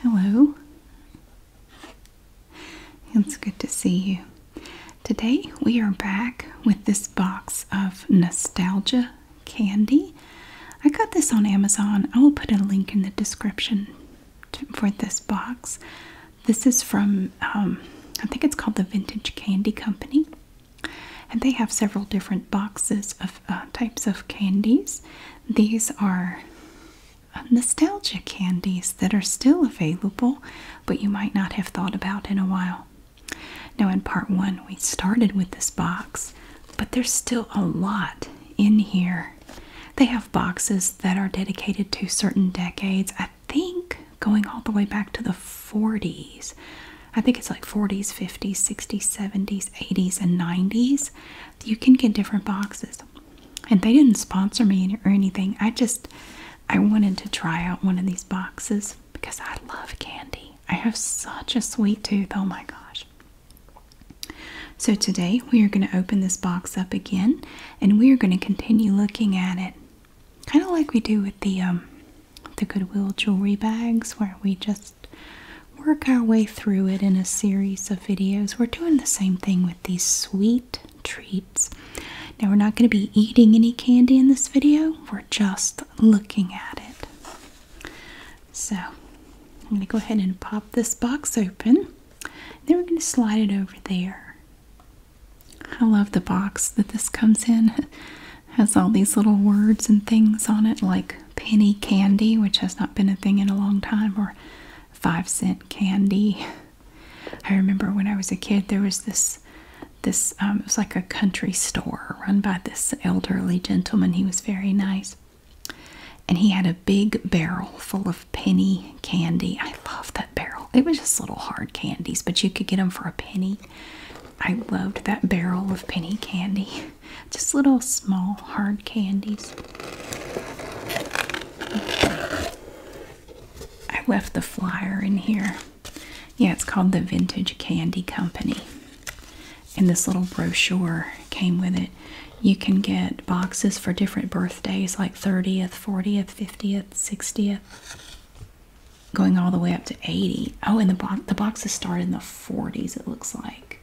Hello. It's good to see you. Today we are back with this box of nostalgia candy. I got this on Amazon. I will put a link in the description for this box. This is from, um, I think it's called the Vintage Candy Company. And they have several different boxes of uh, types of candies. These are uh, nostalgia candies that are still available, but you might not have thought about in a while. Now, in part one, we started with this box, but there's still a lot in here. They have boxes that are dedicated to certain decades. I think going all the way back to the 40s. I think it's like 40s, 50s, 60s, 70s, 80s, and 90s. You can get different boxes. And they didn't sponsor me or anything. I just, I wanted to try out one of these boxes because I love candy. I have such a sweet tooth. Oh my gosh. So today we are going to open this box up again and we are going to continue looking at it. Kind of like we do with the um, the Goodwill jewelry bags where we just work our way through it in a series of videos. We're doing the same thing with these sweet treats. Now, we're not going to be eating any candy in this video, we're just looking at it. So, I'm going to go ahead and pop this box open. Then we're going to slide it over there. I love the box that this comes in. has all these little words and things on it like penny candy which has not been a thing in a long time or 5 cent candy. I remember when I was a kid there was this this um, it was like a country store run by this elderly gentleman. He was very nice. And he had a big barrel full of penny candy. I love that barrel. It was just little hard candies, but you could get them for a penny. I loved that barrel of penny candy. Just little small hard candies. I left the flyer in here. Yeah, it's called the Vintage Candy Company. And this little brochure came with it. You can get boxes for different birthdays like 30th, 40th, 50th, 60th going all the way up to 80. Oh, and the the boxes start in the 40s, it looks like.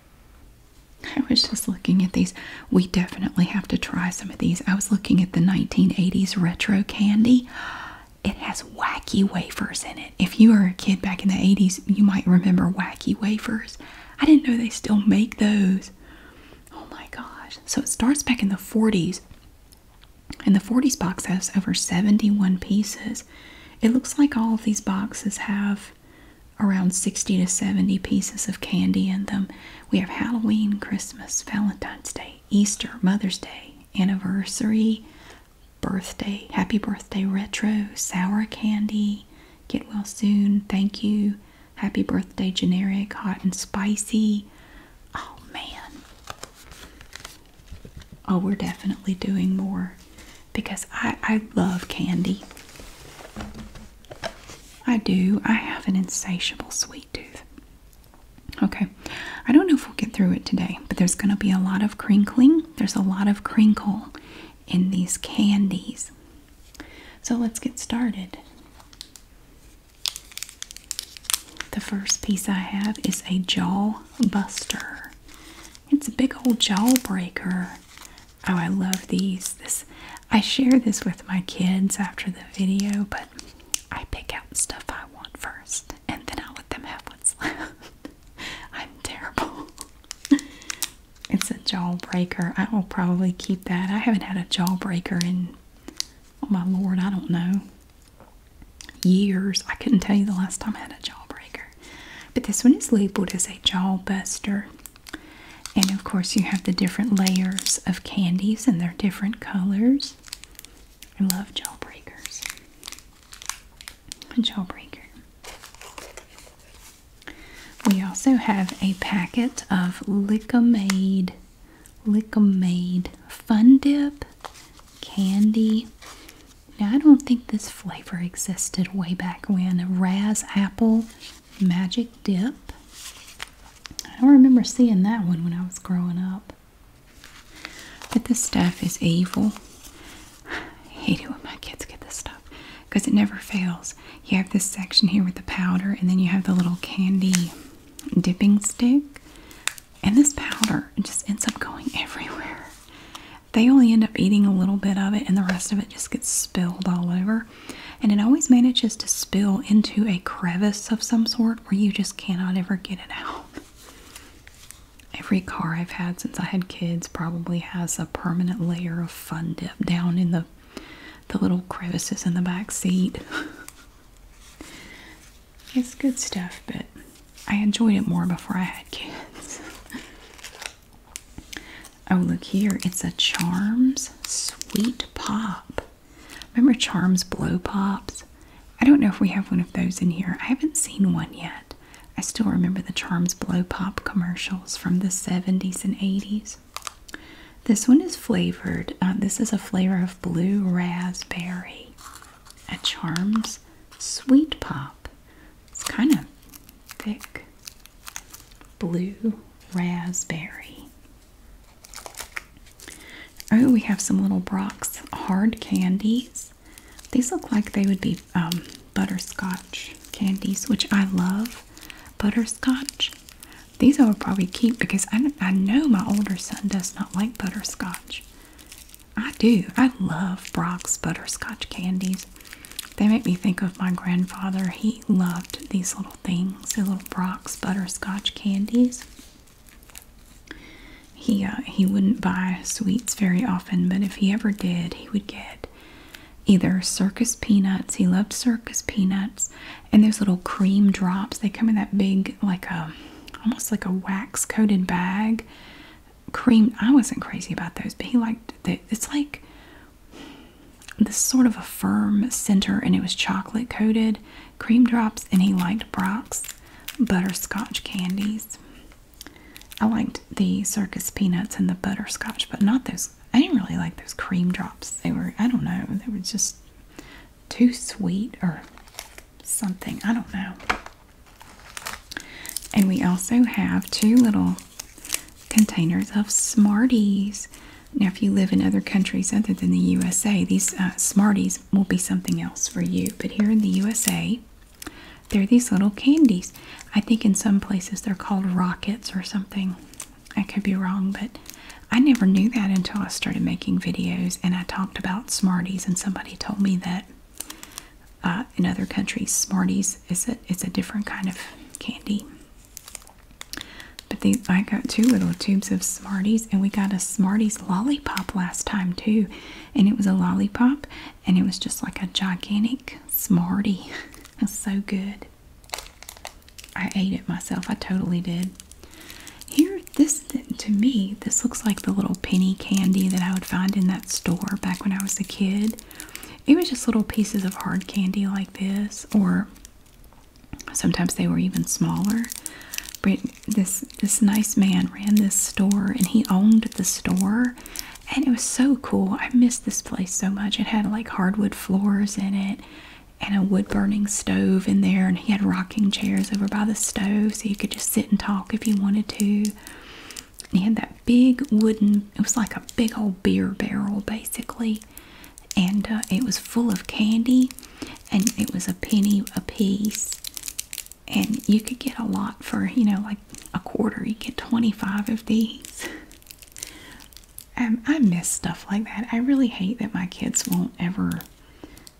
I was just looking at these. We definitely have to try some of these. I was looking at the 1980s retro candy. It has wacky wafers in it. If you were a kid back in the 80s, you might remember wacky wafers. I didn't know they still make those. Oh my gosh. So it starts back in the 40s and the 40s box has over 71 pieces. It looks like all of these boxes have around 60 to 70 pieces of candy in them. We have Halloween, Christmas, Valentine's Day, Easter, Mother's Day, Anniversary, Birthday, Happy Birthday Retro, Sour Candy, Get Well Soon, Thank You, Happy Birthday Generic, Hot and Spicy. Oh man. Oh, we're definitely doing more because I, I love candy. I do. I have an insatiable sweet tooth. Okay, I don't know if we'll get through it today, but there's going to be a lot of crinkling. There's a lot of crinkle in these candies. So let's get started. The first piece I have is a jaw buster. It's a big old jawbreaker. Oh, I love these. This I share this with my kids after the video, but I pick out stuff I want first and then I let them have what's left. I'm terrible. it's a jawbreaker. I will probably keep that. I haven't had a jawbreaker in oh my lord, I don't know years. I couldn't tell you the last time I had a jawbreaker. But this one is labeled as a jaw buster. And of course you have the different layers of candies and they're different colors. I love jawbreakers. A jawbreaker. We also have a packet of Lickamade, Lickamade Fun Dip candy. Now, I don't think this flavor existed way back when. Raz Apple Magic Dip. I don't remember seeing that one when I was growing up. But this stuff is evil. I hate it when my kids get this stuff because it never fails. You have this section here with the powder, and then you have the little candy dipping stick. And this powder just ends up going everywhere. They only end up eating a little bit of it, and the rest of it just gets spilled all over. And it always manages to spill into a crevice of some sort where you just cannot ever get it out. Every car I've had since I had kids probably has a permanent layer of fun dip down in the the little crevices in the back seat. It's good stuff, but I enjoyed it more before I had kids. oh, look here. It's a Charms Sweet Pop. Remember Charms Blow Pops? I don't know if we have one of those in here. I haven't seen one yet. I still remember the Charms Blow Pop commercials from the 70s and 80s. This one is flavored. Uh, this is a flavor of blue raspberry. A Charms Sweet Pop. It's kind of thick. Blue raspberry. Oh, we have some little Brock's hard candies. These look like they would be um, butterscotch candies, which I love. Butterscotch. These I will probably keep because I, I know my older son does not like butterscotch. I do. I love Brock's butterscotch candies. They make me think of my grandfather. He loved these little things, the little Brock's butterscotch candies. He uh, he wouldn't buy sweets very often, but if he ever did, he would get either circus peanuts. He loved circus peanuts, and those little cream drops. They come in that big, like a almost like a wax coated bag cream. I wasn't crazy about those, but he liked it. It's like this sort of a firm center, and it was chocolate coated cream drops. And he liked Brock's butterscotch candies. I liked the circus peanuts and the butterscotch, but not those. I didn't really like those cream drops. They were, I don't know, they were just too sweet or something. I don't know. And we also have two little containers of Smarties. Now, if you live in other countries other than the USA, these uh, Smarties will be something else for you. But here in the USA, they're these little candies. I think in some places they're called rockets or something. I could be wrong, but I never knew that until I started making videos and I talked about Smarties, and somebody told me that uh, in other countries, Smarties is a it's a different kind of candy. But these, I got two little tubes of Smarties, and we got a Smarties lollipop last time too, and it was a lollipop, and it was just like a gigantic Smartie. It's so good. I ate it myself. I totally did. Here this to me this looks like the little penny candy that I would find in that store back when I was a kid. It was just little pieces of hard candy like this or sometimes they were even smaller. But this this nice man ran this store and he owned the store and it was so cool. I missed this place so much. It had like hardwood floors in it and a wood burning stove in there and he had rocking chairs over by the stove so you could just sit and talk if you wanted to. he had that big wooden, it was like a big old beer barrel basically. And uh, it was full of candy and it was a penny a piece. And you could get a lot for, you know, like a quarter. You get 25 of these. Um, I miss stuff like that. I really hate that my kids won't ever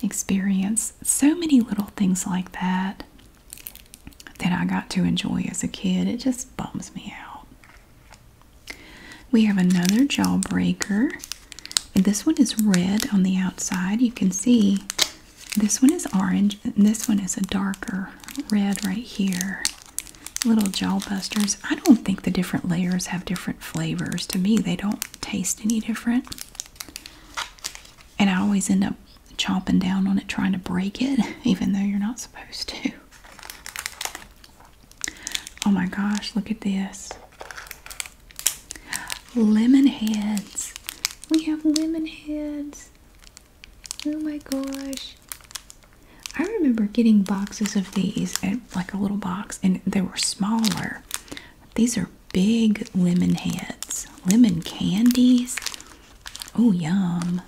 experience. So many little things like that that I got to enjoy as a kid. It just bums me out. We have another jawbreaker. And this one is red on the outside. You can see this one is orange and this one is a darker red right here. Little jawbusters. I don't think the different layers have different flavors. To me, they don't taste any different and I always end up chomping down on it trying to break it, even though you're not supposed to. Oh my gosh, look at this. Lemon heads. We have lemon heads. Oh my gosh. I remember getting boxes of these, like a little box, and they were smaller. These are big lemon heads. Lemon candies. Oh, yum.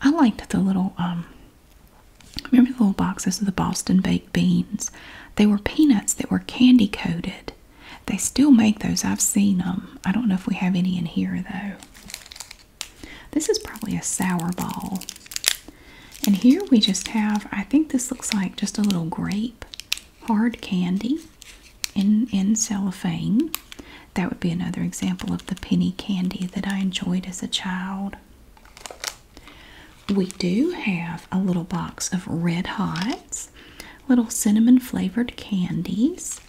I liked the little, um, remember the little boxes of the Boston baked beans? They were peanuts that were candy coated. They still make those. I've seen them. I don't know if we have any in here, though. This is probably a sour ball. And here we just have, I think this looks like just a little grape hard candy in, in cellophane. That would be another example of the penny candy that I enjoyed as a child. We do have a little box of Red Hots, little cinnamon flavored candies.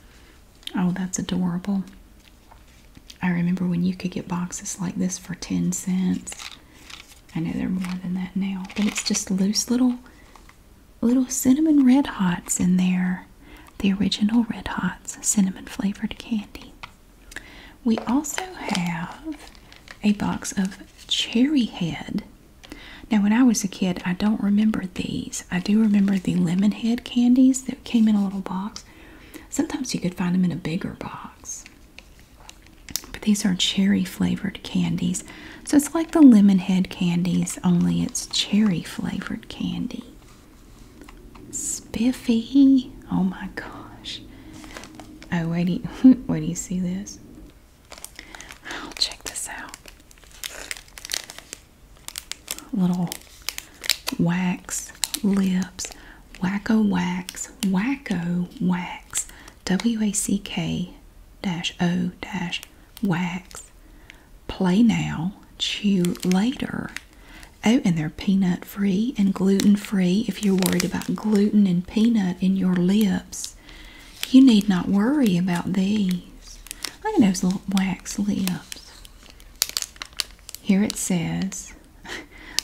Oh, that's adorable. I remember when you could get boxes like this for 10 cents. I know they're more than that now, but it's just loose little little cinnamon red hots in there. The original red hots, cinnamon flavored candy. We also have a box of cherry head. Now, when I was a kid, I don't remember these. I do remember the lemon head candies that came in a little box. Sometimes you could find them in a bigger box. But these are cherry flavored candies. So it's like the lemon head candies, only it's cherry flavored candy. Spiffy. Oh my gosh. Oh, wait, do you, do you see this? I'll check this out. Little wax lips, wacko wax, wacko wax. W a c k dash o dash wax. Play now, chew later. Oh, and they're peanut free and gluten free. If you're worried about gluten and peanut in your lips, you need not worry about these. Look at those little wax lips. Here it says,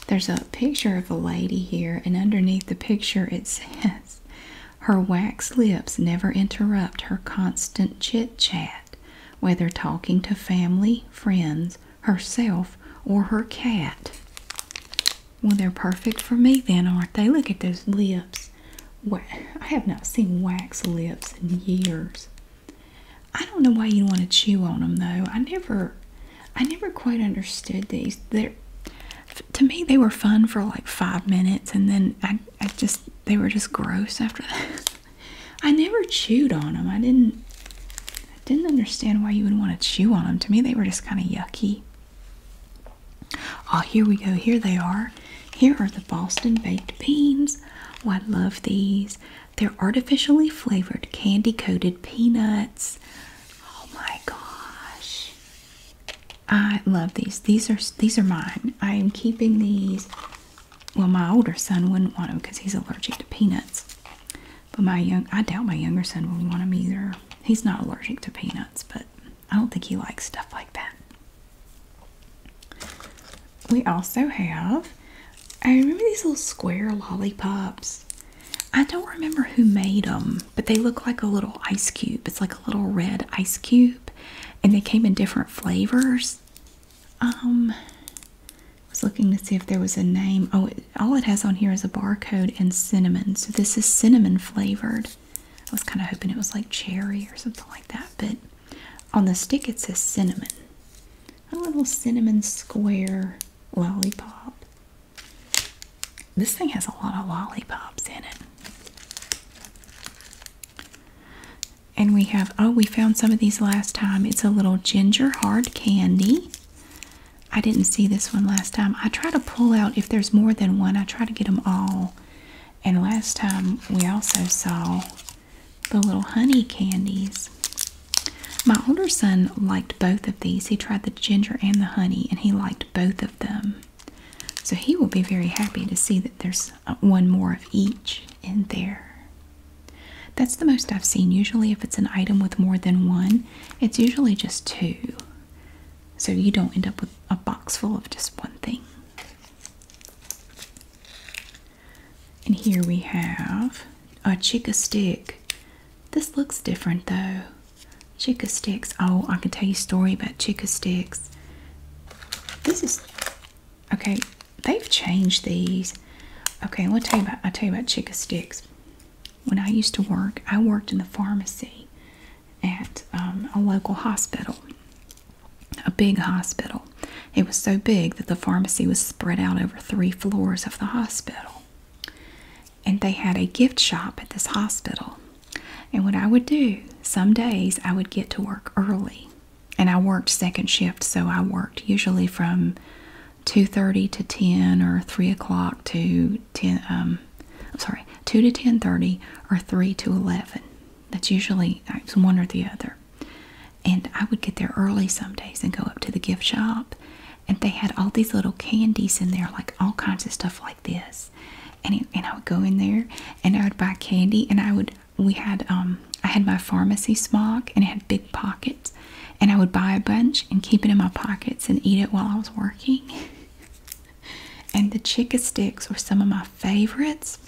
there's a picture of a lady here, and underneath the picture it says, her wax lips never interrupt her constant chit chat, whether talking to family, friends, herself, or her cat. Well, they're perfect for me, then, aren't they? Look at those lips. What? I have not seen wax lips in years. I don't know why you want to chew on them, though. I never, I never quite understood these. They're, to me they were fun for like five minutes and then I, I just they were just gross after that I never chewed on them I didn't I didn't understand why you would want to chew on them to me they were just kind of yucky oh here we go here they are here are the Boston baked beans oh I love these they're artificially flavored candy coated peanuts oh my gosh I love these. These are these are mine. I am keeping these. Well, my older son wouldn't want them because he's allergic to peanuts. But my young I doubt my younger son would want them either. He's not allergic to peanuts, but I don't think he likes stuff like that. We also have I remember these little square lollipops. I don't remember who made them but they look like a little ice cube. It's like a little red ice cube, and they came in different flavors. Um, I was looking to see if there was a name. Oh, all it has on here is a barcode and cinnamon. So this is cinnamon flavored. I was kind of hoping it was like cherry or something like that, but on the stick it says cinnamon. A little cinnamon square lollipop. This thing has a lot of lollipops in it. And we have, oh, we found some of these last time. It's a little ginger hard candy. I didn't see this one last time. I try to pull out, if there's more than one, I try to get them all. And last time we also saw the little honey candies. My older son liked both of these. He tried the ginger and the honey, and he liked both of them. So he will be very happy to see that there's uh, one more of each in there. That's the most I've seen. Usually, if it's an item with more than one, it's usually just two. So you don't end up with a box full of just one thing. And here we have a chica stick. This looks different though. Chica sticks. Oh, I can tell you a story about chica sticks. This is okay. They've changed these. Okay, I'll tell you about. i tell you about chica sticks. When I used to work, I worked in the pharmacy at um, a local hospital, a big hospital. It was so big that the pharmacy was spread out over three floors of the hospital and they had a gift shop at this hospital. And what I would do, some days I would get to work early. And I worked second shift, so I worked usually from 2.30 to 10 or 3 o'clock to 10, um, I'm sorry, 2 to 10.30 or 3 to 11. That's usually uh, one or the other. And I would get there early some days and go up to the gift shop and they had all these little candies in there, like all kinds of stuff like this. And and I would go in there and I would buy candy, and I would we had um I had my pharmacy smock and it had big pockets, and I would buy a bunch and keep it in my pockets and eat it while I was working. and the Chica sticks were some of my favorites.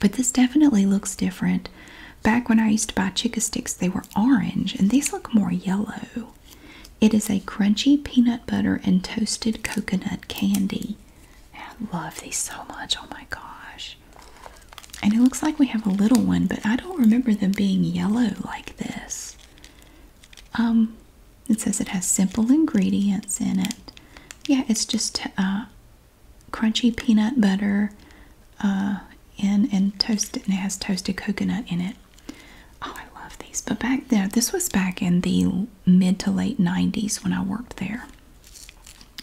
But this definitely looks different. Back when I used to buy Chica sticks, they were orange, and these look more yellow. It is a crunchy peanut butter and toasted coconut candy. I love these so much. Oh my gosh. And it looks like we have a little one, but I don't remember them being yellow like this. Um, it says it has simple ingredients in it. Yeah, it's just uh, crunchy peanut butter uh, and toasted, and it has toasted coconut in it. Oh, I love these. But back there, this was back in the mid to late 90s when I worked there.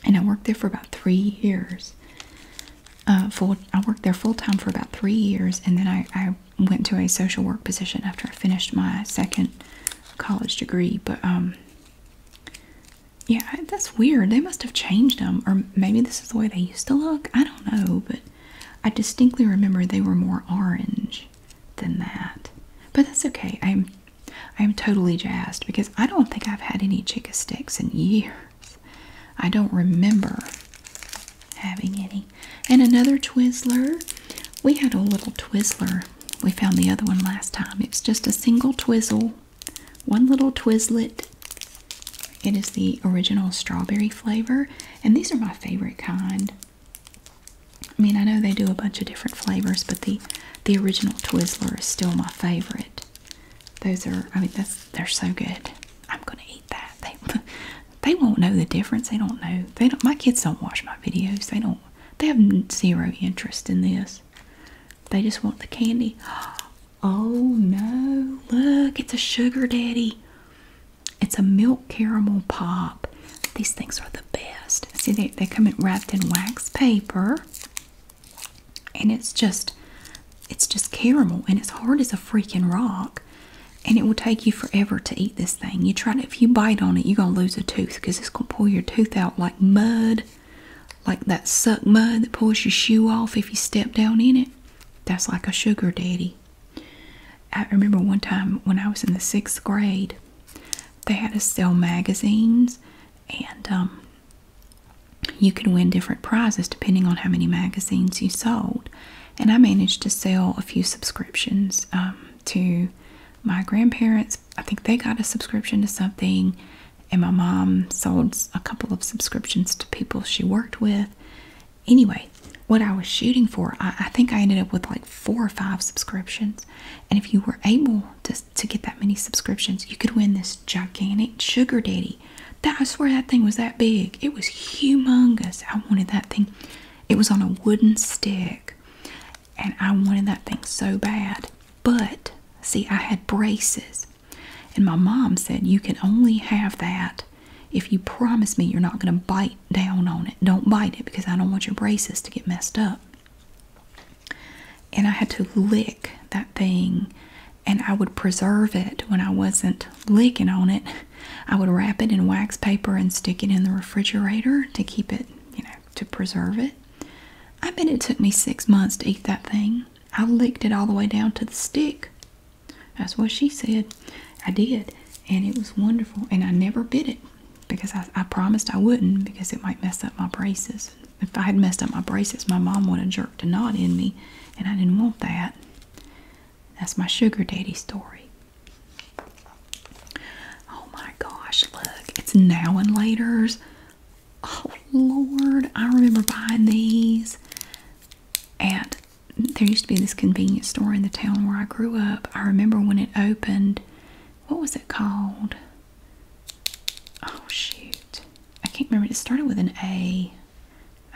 And I worked there for about three years. Uh, full, I worked there full time for about three years, and then I, went to a social work position after I finished my second college degree. But um, yeah, that's weird. They must have changed them, or maybe this is the way they used to look. I don't know, but I distinctly remember they were more orange than that. But that's okay. I'm I am totally jazzed because I don't think I've had any chicken sticks in years. I don't remember having any. And another Twizzler. We had a little Twizzler. We found the other one last time. It's just a single Twizzle, one little Twizzlet, it is the original strawberry flavor, and these are my favorite kind. I mean, I know they do a bunch of different flavors, but the the original Twizzler is still my favorite. Those are, I mean, that's they're so good. I'm gonna eat that. They they won't know the difference. They don't know. They don't. My kids don't watch my videos. They don't. They have zero interest in this. They just want the candy. Oh no! Look, it's a sugar daddy. It's a milk caramel pop. These things are the best. See, they, they come in wrapped in wax paper. And it's just, it's just caramel. And it's hard as a freaking rock. And it will take you forever to eat this thing. You try to, if you bite on it, you're going to lose a tooth. Because it's going to pull your tooth out like mud. Like that suck mud that pulls your shoe off if you step down in it. That's like a sugar daddy. I remember one time when I was in the sixth grade, they had to sell magazines, and um, you could win different prizes depending on how many magazines you sold. And I managed to sell a few subscriptions um, to my grandparents. I think they got a subscription to something, and my mom sold a couple of subscriptions to people she worked with anyway, what I was shooting for, I, think I ended up with like four or five subscriptions. And if you were able to, to get that many subscriptions, you could win this gigantic sugar daddy. That I swear that thing was that big. It was humongous. I wanted that thing. It was on a wooden stick. And I wanted that thing so bad. But see, I had braces. And my mom said you can only have that if you promise me you're not going to bite down on it, don't bite it because I don't want your braces to get messed up. And I had to lick that thing and I would preserve it when I wasn't licking on it. I would wrap it in wax paper and stick it in the refrigerator to keep it, you know, to preserve it. I bet it took me six months to eat that thing. I licked it all the way down to the stick. That's what she said. I did, and it was wonderful. And I never bit it because I, promised I wouldn't because it might mess up my braces. If I had messed up my braces, my mom would have jerked a knot in me, and I didn't want that. That's my sugar daddy story. Oh my gosh, look, it's now and later's. Oh Lord, I remember buying these and there used to be this convenience store in the town where I grew up. I remember when it opened. What was it called? Oh shoot. I can't remember. It started with an A.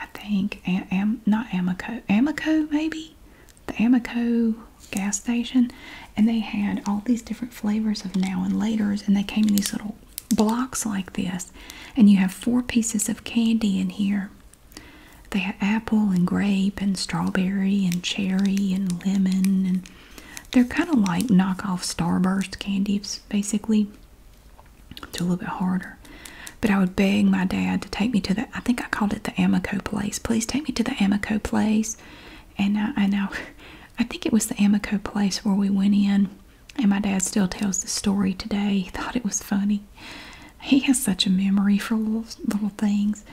I think. Am, not Amico. Amico maybe? The Amico gas station. And they had all these different flavors of now and laters and they came in these little blocks like this. And you have four pieces of candy in here. They had apple and grape and strawberry and cherry and lemon and they're kind of like knockoff Starburst candies basically. It's a little bit harder. But I would beg my dad to take me to the I think I called it the Amico place. Please take me to the Amico place. And I, I know I think it was the Amico place where we went in and my dad still tells the story today. He thought it was funny he has such a memory for little, little things.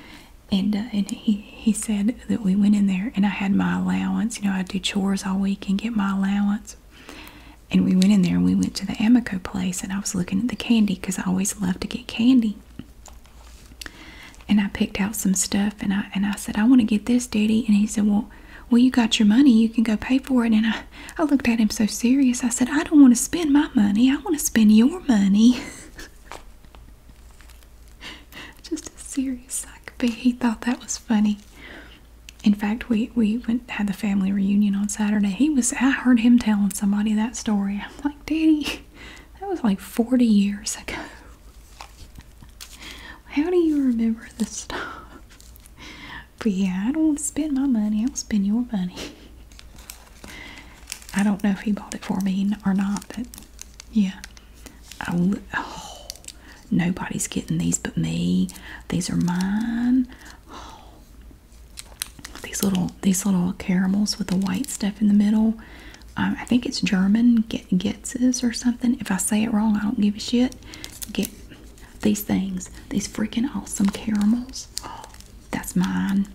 And, uh, and he, he said that we went in there and I had my allowance. You know, I do chores all week and get my allowance. And we went in there and we went to the Amico place and I was looking at the candy because I always love to get candy. And I picked out some stuff and I and I said, I want to get this, Daddy. And he said, Well, well, you got your money, you can go pay for it. And I I, looked at him so serious. I said, I don't want to spend my money. I want to spend your money. Just as serious as I could be. He thought that was funny. In fact, we, we went had the family reunion on Saturday. He was I heard him telling somebody that story. I'm like, Daddy, that was like 40 years ago. How do you remember this stuff? But yeah, I don't want to spend my money. I'll spend your money. I don't know if he bought it for me or not, but yeah. Oh, nobody's getting these but me. These are mine. these little these little caramels with the white stuff in the middle. Um, I think it's German, Get Getzes or something. If I say it wrong, I don't give a shit. Get these things, these freaking awesome caramels. Oh, that's mine.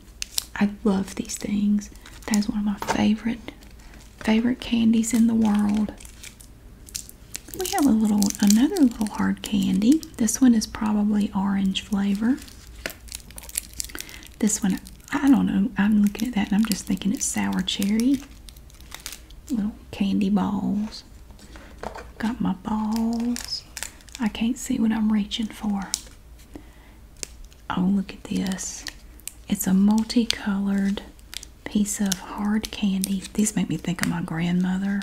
I love these things. That is one of my favorite, favorite candies in the world. We have a little, another little hard candy. This one is probably orange flavor. This one, I don't know. I'm looking at that and I'm just thinking it's sour cherry. Little candy balls. Got my balls. I can't see what I'm reaching for. Oh, look at this. It's a multicolored piece of hard candy. These make me think of my grandmother.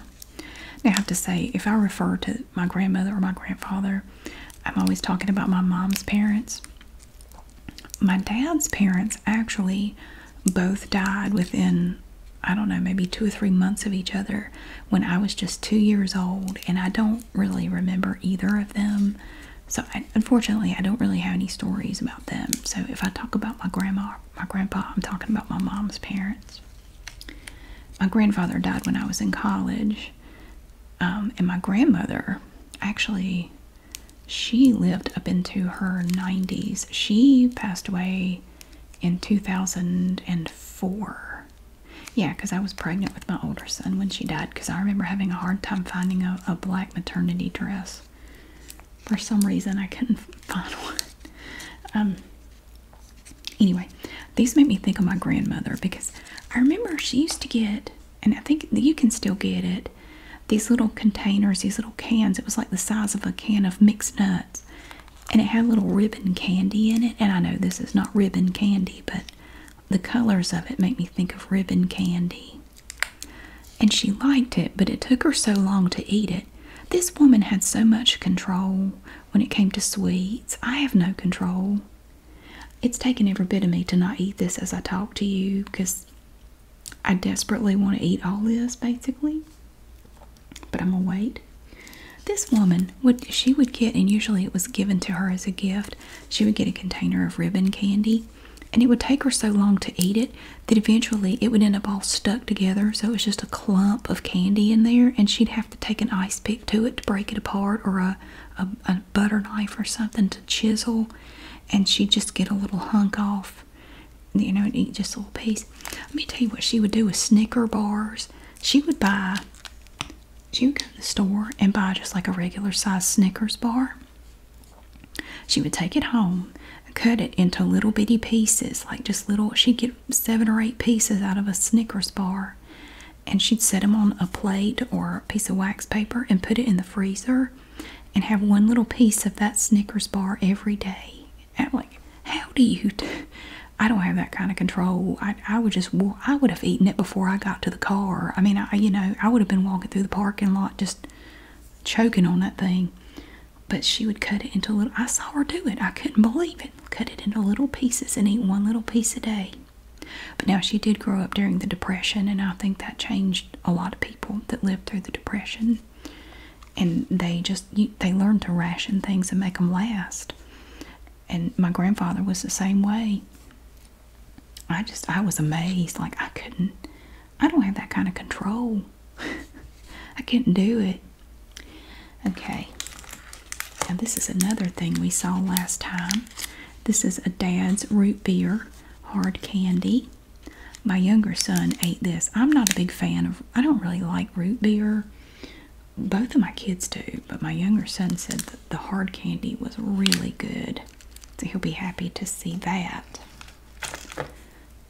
Now, I have to say, if I refer to my grandmother or my grandfather, I'm always talking about my mom's parents. My dad's parents actually both died within I don't know, maybe two or three months of each other when I was just two years old, and I don't really remember either of them. So, unfortunately, I don't really have any stories about them. So, if I talk about my grandma my grandpa, I'm talking about my mom's parents. My grandfather died when I was in college, um, and my grandmother actually she lived up into her 90s. She passed away in 2004. Yeah, because I was pregnant with my older son when she died, because I remember having a hard time finding a, black maternity dress. For some reason, I couldn't find one. Um, anyway, these make me think of my grandmother because I remember she used to get, and I think you can still get it, these little containers, these little cans. It was like the size of a can of mixed nuts and it had little ribbon candy in it. And I know this is not ribbon candy, but the colors of it make me think of ribbon candy. And she liked it, but it took her so long to eat it. This woman had so much control when it came to sweets. I have no control. It's taking every bit of me to not eat this as I talk to you because I desperately want to eat all this basically but I'm gonna wait. This woman would she would get, and usually it was given to her as a gift. She would get a container of ribbon candy, and it would take her so long to eat it that eventually it would end up all stuck together. So it was just a clump of candy in there, and she'd have to take an ice pick to it to break it apart, or a a butter knife or something to chisel, and she'd just get a little hunk off you know, and eat just a little piece. Let me tell you what she would do with Snicker bars. She would buy, she would go to the store and buy just like a regular size Snickers bar. She would take it home cut it into little bitty pieces, like just little, she'd get seven or eight pieces out of a Snickers bar. And she'd set them on a plate or a piece of wax paper and put it in the freezer and have one little piece of that Snickers bar every day. I'm like, how do you? I don't have that kind of control. I, I would just, I would have eaten it before I got to the car. I mean, I, you know, I would have been walking through the parking lot just choking on that thing. But she would cut it into little. I saw her do it. I couldn't believe it. Cut it into little pieces and eat one little piece a day. But now she did grow up during the Depression, and I think that changed a lot of people that lived through the Depression and they just they learn to ration things and make them last and my grandfather was the same way i just i was amazed like i couldn't i don't have that kind of control i couldn't do it okay now this is another thing we saw last time this is a dad's root beer hard candy my younger son ate this i'm not a big fan of i don't really like root beer both of my kids do, but my younger son said that the hard candy was really good. So he'll be happy to see that.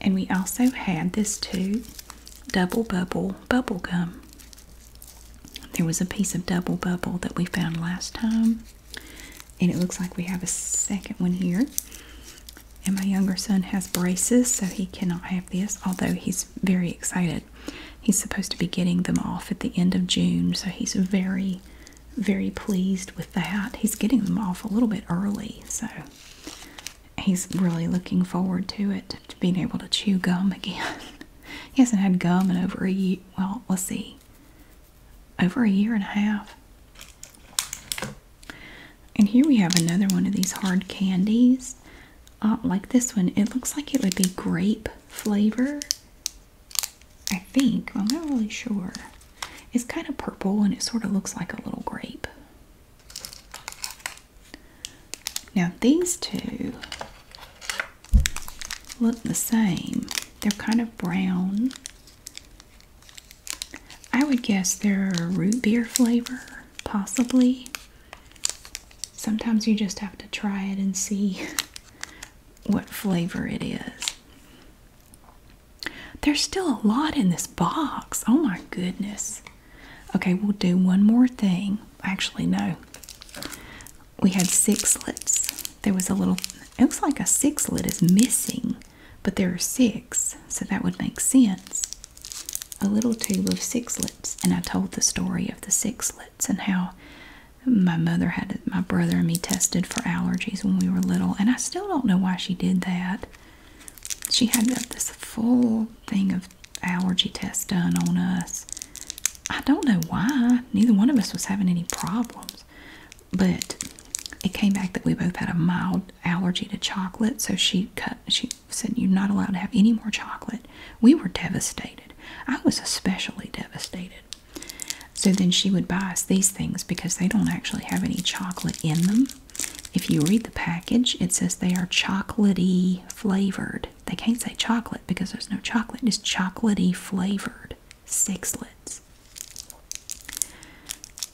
And we also had this too double bubble bubble gum. There was a piece of double bubble that we found last time. And it looks like we have a second one here. And my younger son has braces, so he cannot have this, although he's very excited. He's supposed to be getting them off at the end of June, so he's very, very pleased with that. He's getting them off a little bit early, so he's really looking forward to it, to being able to chew gum again. he hasn't had gum in over a year, well, we'll see, over a year and a half. And here we have another one of these hard candies. Uh, like this one, it looks like it would be grape flavor. I think. I'm not really sure. It's kind of purple and it sort of looks like a little grape. Now these two look the same. They're kind of brown. I would guess they're root beer flavor possibly. Sometimes you just have to try it and see what flavor it is. There's still a lot in this box. Oh my goodness. Okay, we'll do one more thing. Actually, no. We had six sixlets. There was a little, it looks like a six sixlet is missing, but there are six so that would make sense. A little tube of sixlets, and I told the story of the sixlets and how my mother had my brother and me tested for allergies when we were little, and I still don't know why she did that. She had this full thing of allergy tests done on us. I don't know why. Neither one of us was having any problems, but it came back that we both had a mild allergy to chocolate. So she cut she said, You're not allowed to have any more chocolate. We were devastated. I was especially devastated. So then she would buy us these things because they don't actually have any chocolate in them. If you read the package, it says they are chocolatey flavored. They can't say chocolate because there's no chocolate, it's chocolatey flavored sixlets.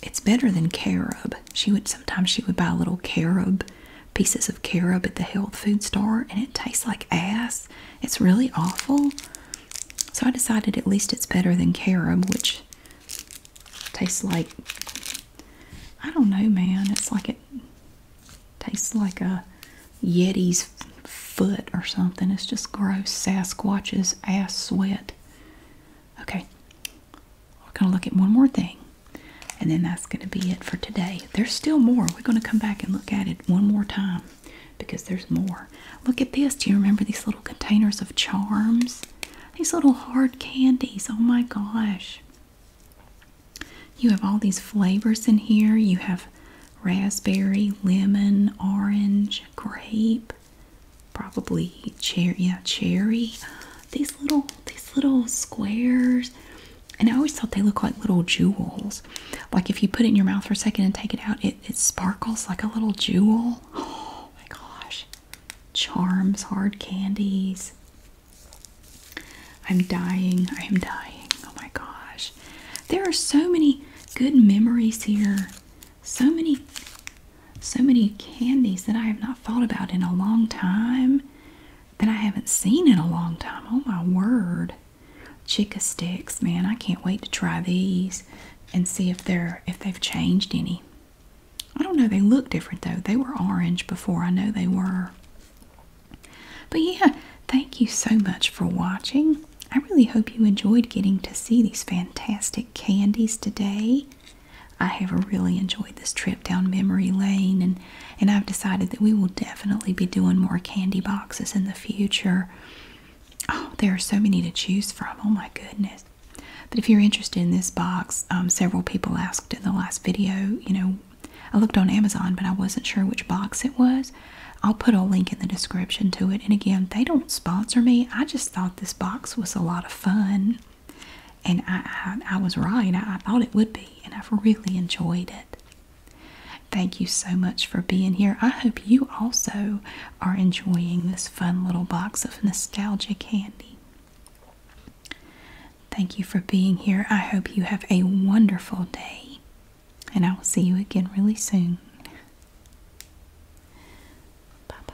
It's better than carob she would sometimes she would buy little carob pieces of carob at the health food store and it tastes like ass. It's really awful. So I decided at least it's better than carob, which tastes like I don't know, man. It's like it tastes like a Yeti's foot or something. It's just gross. Sasquatch's ass sweat. Okay, we're gonna look at one more thing. And then that's going to be it for today. There's still more. We're going to come back and look at it one more time because there's more. Look at this. Do you remember these little containers of charms? These little hard candies. Oh my gosh. You have all these flavors in here. You have raspberry, lemon, orange, grape, probably cherry. Yeah, cherry these little these little squares and I always thought they look like little jewels. Like if you put it in your mouth for a second and take it out, it, it sparkles like a little jewel. Oh my gosh. Charms, hard candies. I'm dying. I am dying. Oh my gosh. There are so many good memories here. So many so many candies that I have not thought about in a long time that I haven't seen in a long time. Oh my word. Chicka sticks, man. I can't wait to try these and see if they're if they've changed any. I don't know, they look different though. They were orange before. I know they were. But yeah, thank you so much for watching. I really hope you enjoyed getting to see these fantastic candies today. I have really enjoyed this trip down memory lane, and, and I've decided that we will definitely be doing more candy boxes in the future. Oh, there are so many to choose from. Oh my goodness. But if you're interested in this box, um, several people asked in the last video, you know, I looked on Amazon, but I wasn't sure which box it was. I'll put a link in the description to it. And again, they don't sponsor me. I just thought this box was a lot of fun. And I, I, was right. I, I thought it would be, and I've really enjoyed it. Thank you so much for being here. I hope you also are enjoying this fun little box of nostalgia candy. Thank you for being here. I hope you have a wonderful day, and I will see you again really soon. Bye bye.